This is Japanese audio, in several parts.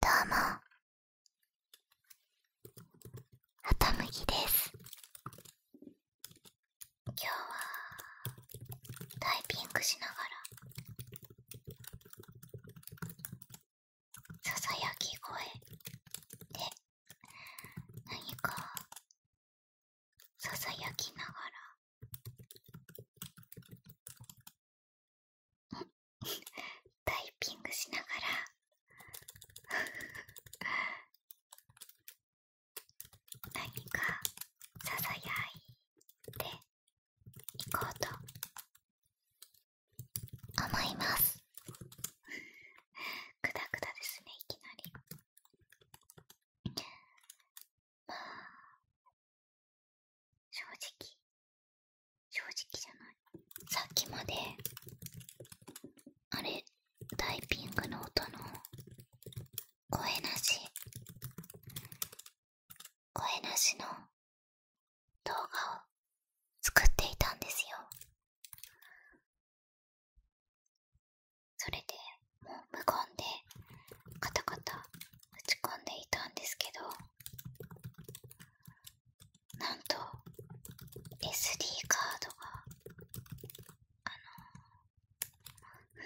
どうもはたむぎです今日はタイピングしながらささやき声で何かささやきながら タイピングしながら 何かささやいていこうと思いますくだくだですねいきなり正直正直じゃないさっきまであれタイピングの音の声なし声なしの動画を作っていたんですよそれでもう無言でカタカタ打ち込んでいたんですけどなんと SD カードがあの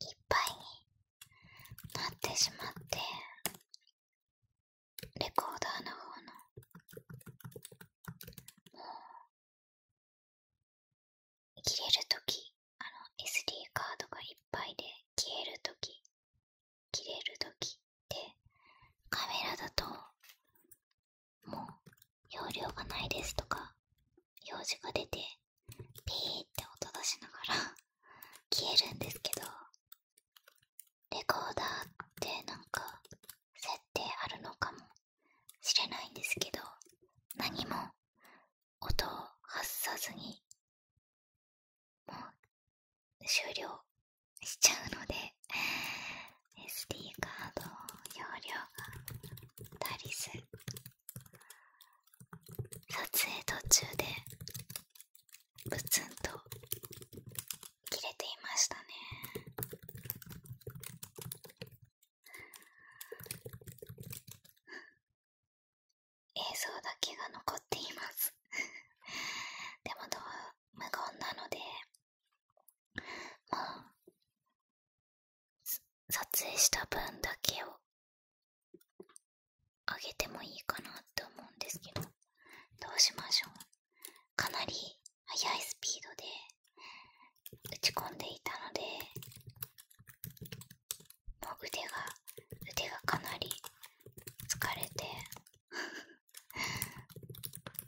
いっぱいになってしまってレコーダーの方のもう切れる時、あの SD カードがいっぱいで消える時切れる時ってカメラだともう容量がないですとか用事が出てピーって音出しながら消えるんですけどレコーダーってなんか設定あるのかも知れないんですけど何も音を発さずにもう終了しちゃうので SD カード容量が足りず撮影途中でブツンと切れていましたね映像だけが残っていますでもど無言なのでまあ撮影した分だけをあげてもいいかなって思うんですけどどうしましょうかなり速いスピードで打ち込んでいたのでもう腕が腕がかなり疲れて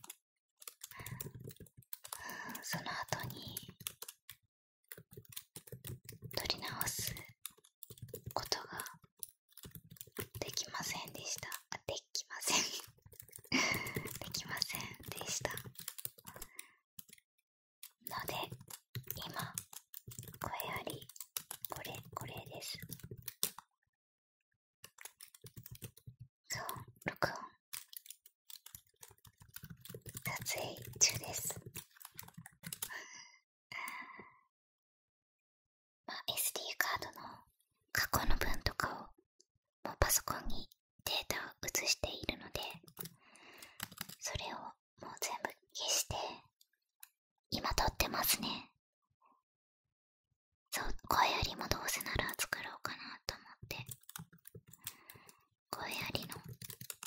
その後に取り直すことができませんでしたできません できませんでしたので今これありこれこれですそう録音撮影中ですまあ SD カードの過去の分とかをもうパソコンにデータを映しているのでそれをもう全部消して今撮ってますねそう声ありもどうせなら作ろうかなと思って声ありの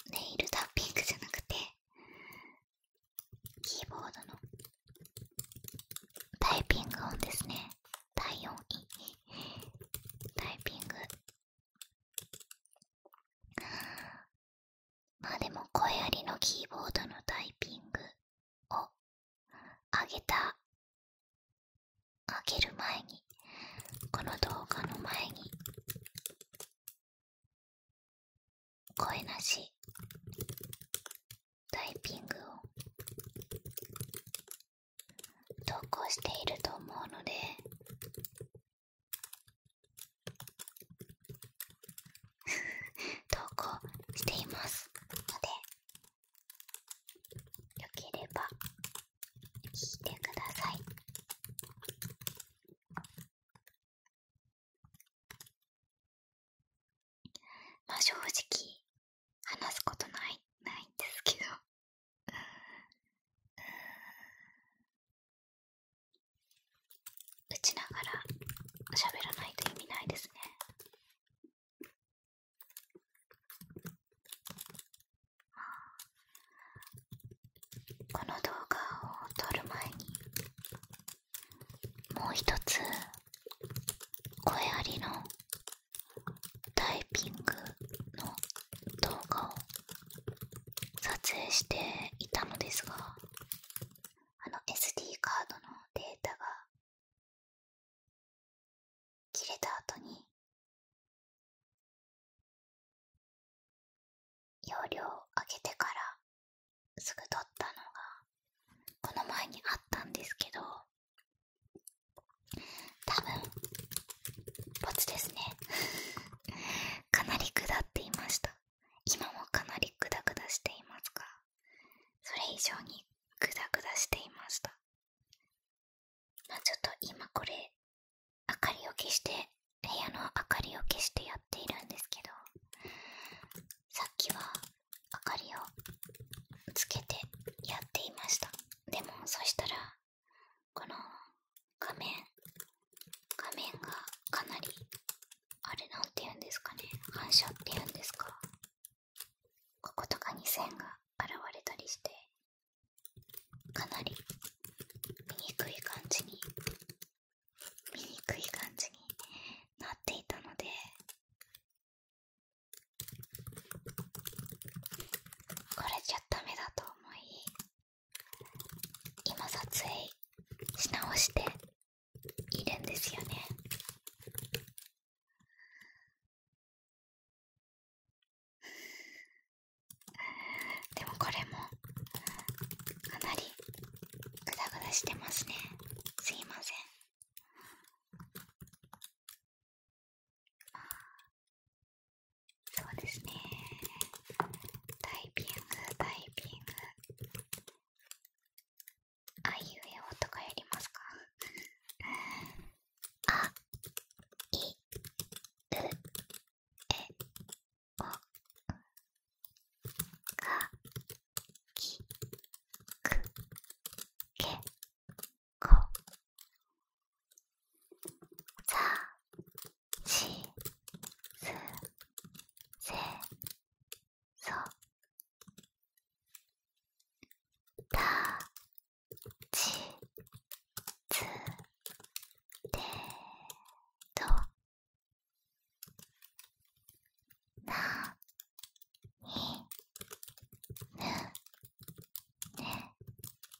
ネイルタッピングじゃなくてキーボードのタイピング音ですね体音 タイピングまあでも声ありのキーボードのタイピングをあげたあげる前にこの動画の前に声なしタイピングを投稿していると思うので投稿していますのでよければ聞いてくださいまあ正直話すことないないんですけど打ちながら喋らないと意味ないですね。この動画を撮る前にもう一つ声ありのタイピングの動画を撮影していたのですがあの SD カードのデータが切れた後に容量を上げてからすぐ撮ったのがこの前にあったんですけど多分ボツですねかなり下っていました今もかなりグダグダしていますがそれ以上にグダグダしていましたまちょっと今これ明かりを消して部屋の明かりを消してやっているんですけどさっきは明かりをつけてやっていましたでもそしたらこの画面画面がかなりあれなんて言うんですかね反射って言うんですかこことかに線が現れたりしてかなり見にくい感じに見にくい感じになっていたのでこれじゃダメだと思い今撮影し直しているんですよねでもこれもかなりグダグダしてますねすいませんあ、そうですねタイピングタイピングあいうえおとかやりますかあいうえおかきくけこざしすせそたちつで、となにぬね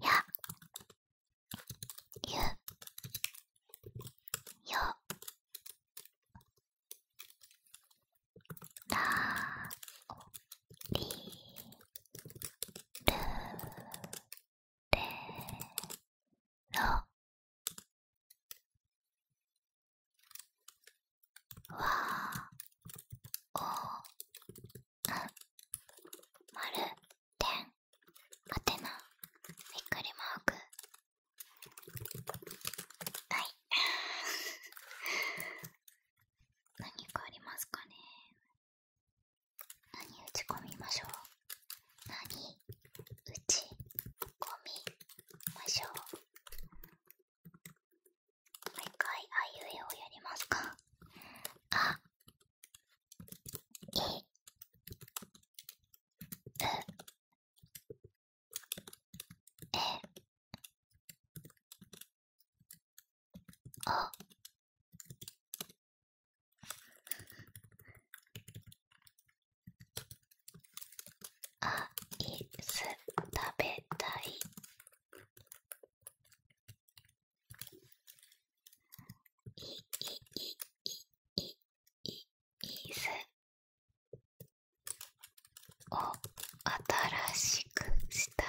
や、ゆ、よ、ら、り、る、れ、ろ、わ、お、丸点アテナびっくりマークはい 何かありますかね何打ち込みましょうなに、打ち込みましょう毎回あいうえをやりますかあう、え、お。べたいいいすを新しくした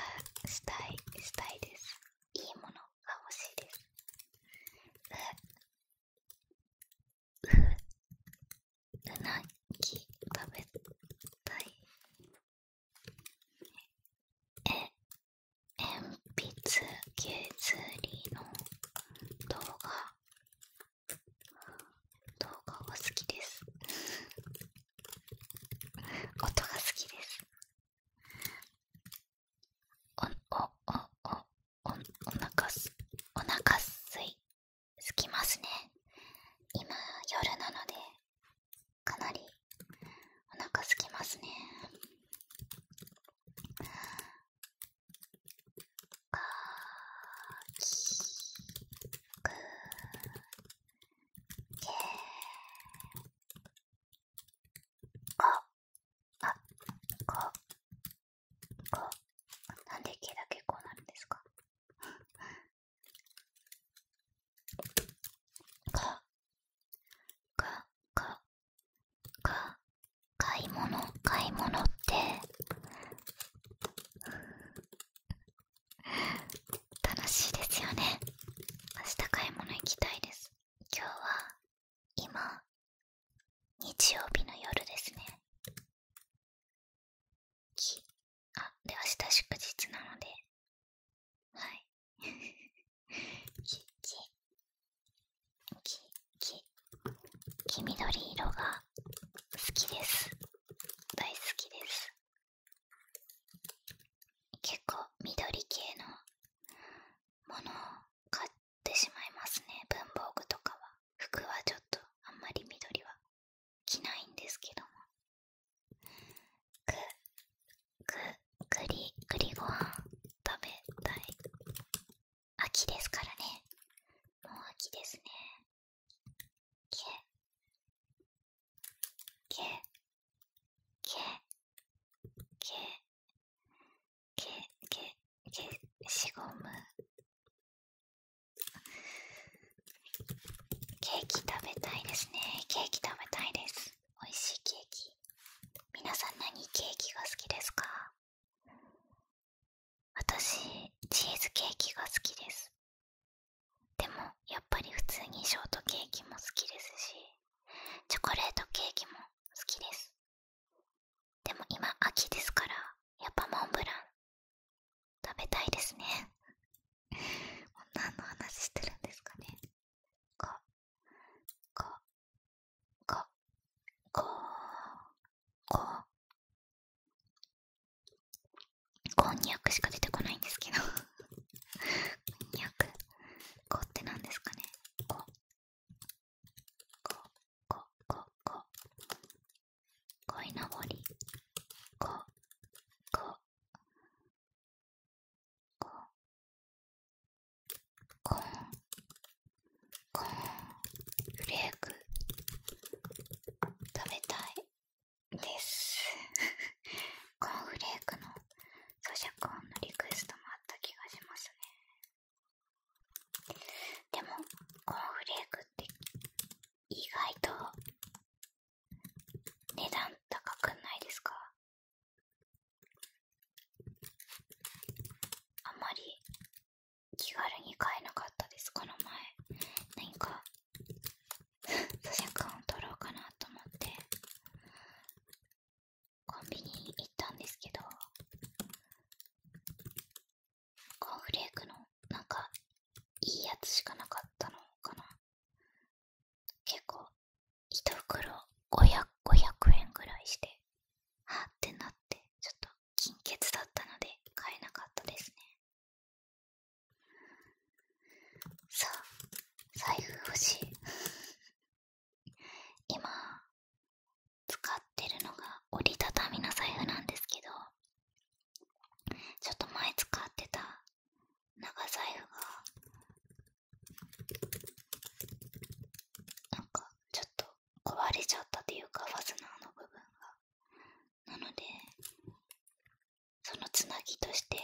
したいしたいですいいものが欲しいですうううなぎ食べたいえ鉛筆削りの動画動画が好きです音が好きですおおおおおお腹すおなかすいすきますね今夜なのでかなりおなかすきますねかきくけこあここなんで毛だけこなんですかかかかか買い物買い物って楽しいですよね明日買い物行きたいです今日は今日曜日の夜ですねきあで明日祝日なのではいきききき黄緑色が好きです大好きです結構緑系のものを買ってしまいますね文房具とかは服はちょっとあんまり緑は着ないんですけどもく、く、くり、くりご飯食べたい。秋ですからね。もう秋ですね。け、け、け、け、け、け、け、しごむ。ケーキ食べたいですね。ケーキ食べたいです。美味しいケーキ。皆さん何ケーキが好きですか私チーズケーキが好きですでもやっぱり普通にショートケーキも好きですしチョコレートケーキも好きですでも今秋ですからやっぱモンブラン食べたいですね何 の話してるんですかねか、か、か、か、こ、こんにゃくしか出てこないんですけどこんにゃく、こって何ですかねこ、こ、こ、こ、こ、こいのぼり、こ、こ、コン。コンコンフレーク食べたいですコーンフレークの咀嚼音のリクエストもあった気がしますねでもコーンフレークって意外と値段高くないですかあんまり気軽に買えなかったですこの前何か咀嚼感を取ろうかなと思ってコンビニ行ったんですけどコーンフレークのなんかいいやつしかなかったのかな結構一袋5 0 0円ぐらいしてはってなってちょっと金欠だったので買えなかったですねさあ財布欲しい 今使ってるのが折りたたみの財布なんですけどちょっと前使ってた長財布がなんかちょっと壊れちゃったというかファスナーの部分がなのでそのつなぎとして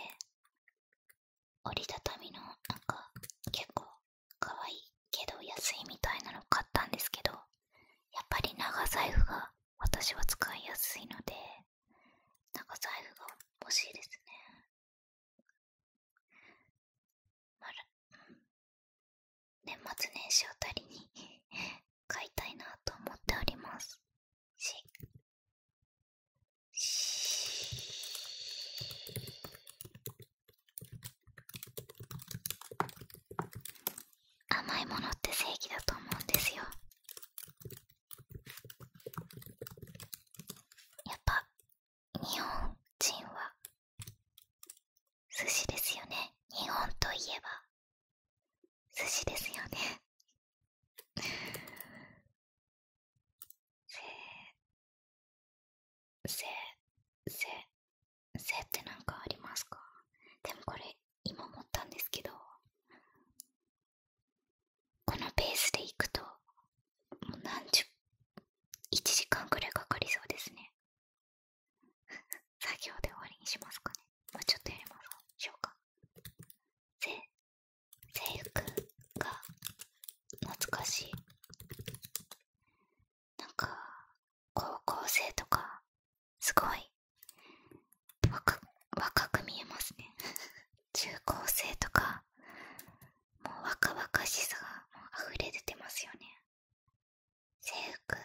折りたたみのなんか結構かわいいけど安いみたいなのを買ったんですけどやっぱり長財布が私は使いやすいので長財布が欲しいですねまる年末年始をたりに 買いたいなと思っておりますし。し甘いものって正義だと思うんですよやっぱ日本人は寿司ですよね日本といえば寿司ですよねせせせせってなんかありますかでもこれ今思ったんですけどこのペースでいくともう何十1時間くらいかかりそうですね 作業で終わりにしますかねもうちょっとやります。しょうかせ制服が懐かしいなんか高校生とかすごい若く見えますね中高生とかもう若々しさがもう溢れ出てますよね制服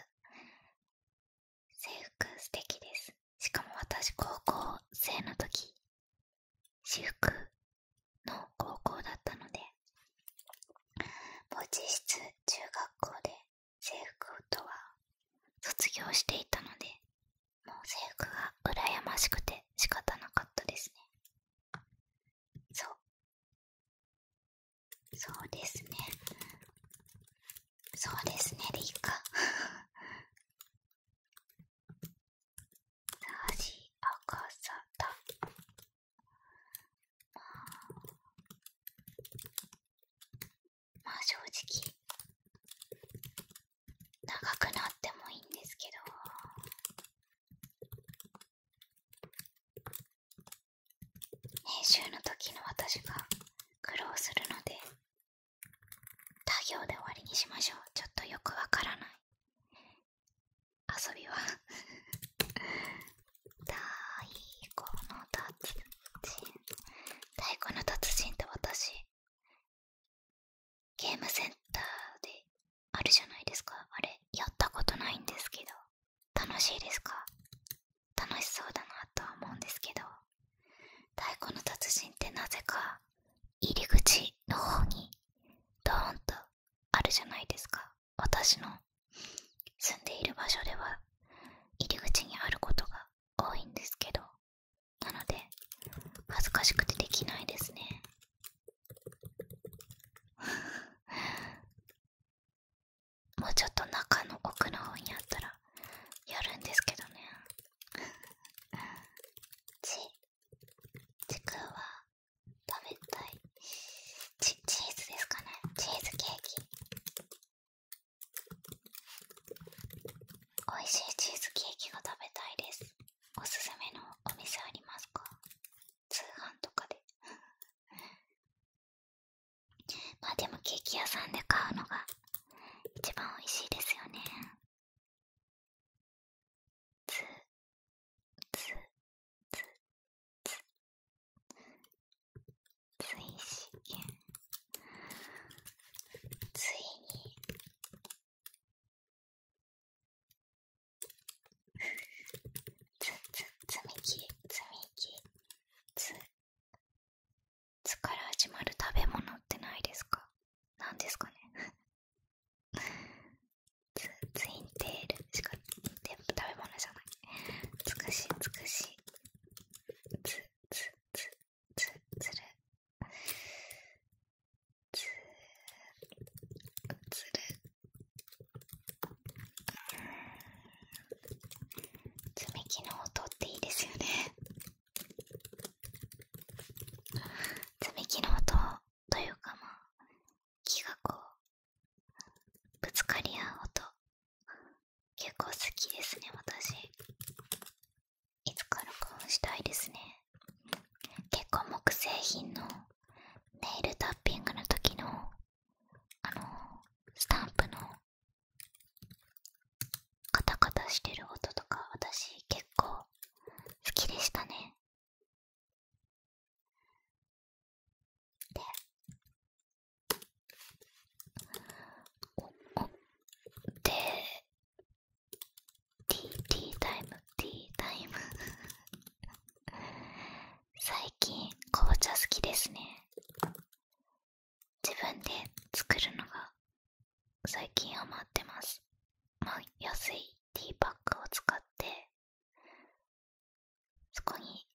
制服素敵ですしかも私高校生の時私服の高校だったのでもう実質中学校で制服とは卒業していたのでもう制服がうらやましくて仕方なかったですねそうそうですねそうですねでいいかさしあかさたまあまあ正直長くなってもいいんですけど。編集の時の私が苦労するので他行で終わりにしましょうちょっとよくわからない遊びは 太鼓の達人太鼓の達人と私ゲームセンターであるじゃないですかあれやったことないんですけど楽しいですか楽しそうだなとは思うんですけど太鼓の達人ってなぜか入り口の方にドーンとあるじゃないですか私の住んでいる場所では入り口にあることが多いんですけどなので恥ずかしくてできないですね もうちょっと中の奥の方にあったらやるんですけどね ちちくは食べたいチチーズですかねチーズケーキ美味しいチーズケーキが食べたいですおすすめのお店ありますか通販とかで まあでもケーキ屋さんで買うのが一番おいしいですよねつつつつついしついにつ、つ、つみき、つみき、つ、つから始まる食べ物ってないですかなんですかねつ、ツインテールしか、全部食べ物じゃない。つくし、つくし、つ、つ、つ、つ、つる、つつるつみきの音っていいですよねつみきの音というかまあ木がこうぶつかり合う音結構好きですね私いつか録音したいですね結構木製品のネイルタッピングの時のあのスタンプのカタカタしてる音とか私結構好きでしたねでおおでティーティータイムティータイム 最近紅茶好きですね自分で作るのが最近余ってます安いティーパックを使ってそこに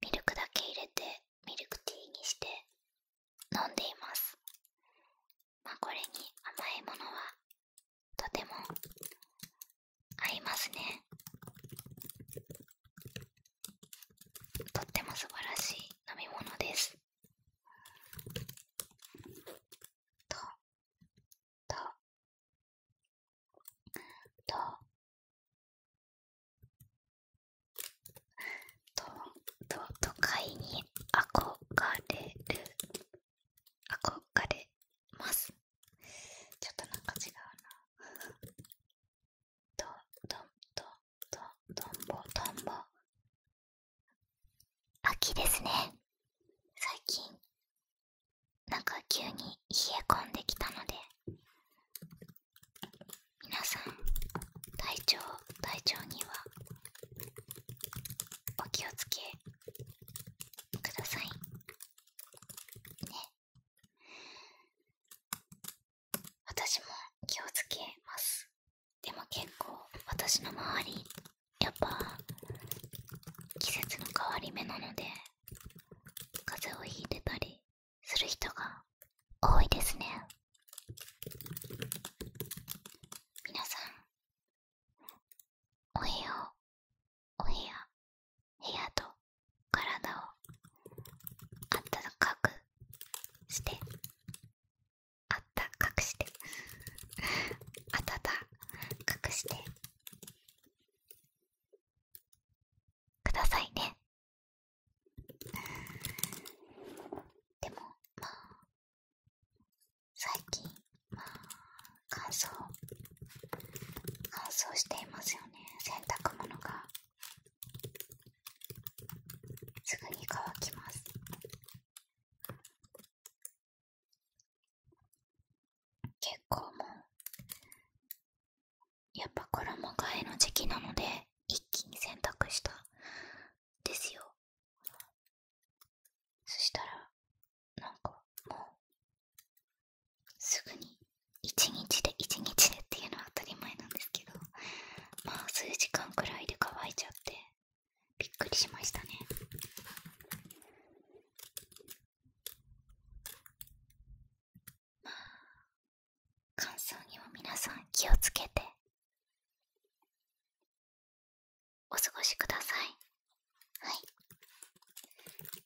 ミルクだけ入れてミルクティーにして飲んでいますまあ、これに甘いものはとても合いますねとっても素晴らしい飲み物ですととととと都会に憧れる憧れますちょっとなんか違うなとどんとどどんぼどんぼ秋ですね最近なんか急に冷え込んできたので皆さん体調体調にはお気をつけくださいね私も気をつけますでも結構私の周りやっぱ季節の変わり目なので風邪をひいてたりする人が多いですね皆さんお部屋をお部屋部屋と体をあったかくしてあったかくしてあったかくしてくださいねでもまあ最近、まあ、乾燥乾燥していますよね洗濯物がすぐに乾きます結構もうやっぱ衣替えの時期なので一気に洗濯したですよそしたらなんかもうすぐに一日で一日でっていうのは当たり前なんですけどまあ数時間くらいで乾いちゃってびっくりしましたねまあ乾燥には皆さん気をつけてお過ごしくださいはい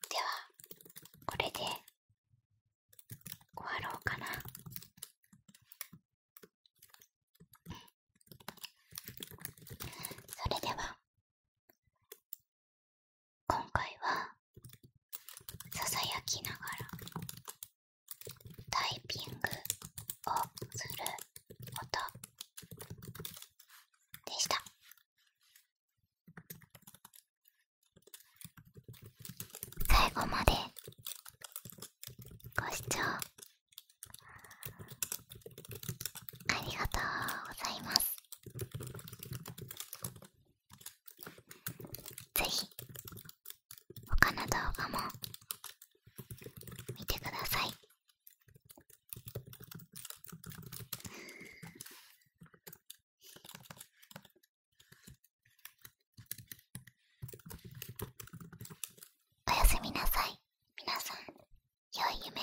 ではこれで終わろうかなそれでは今回はささやきながらタイピングする音でした。最後までご視聴ありがとうございます。ぜひ他の動画も見てください。おやすみなさい皆さん良い夢を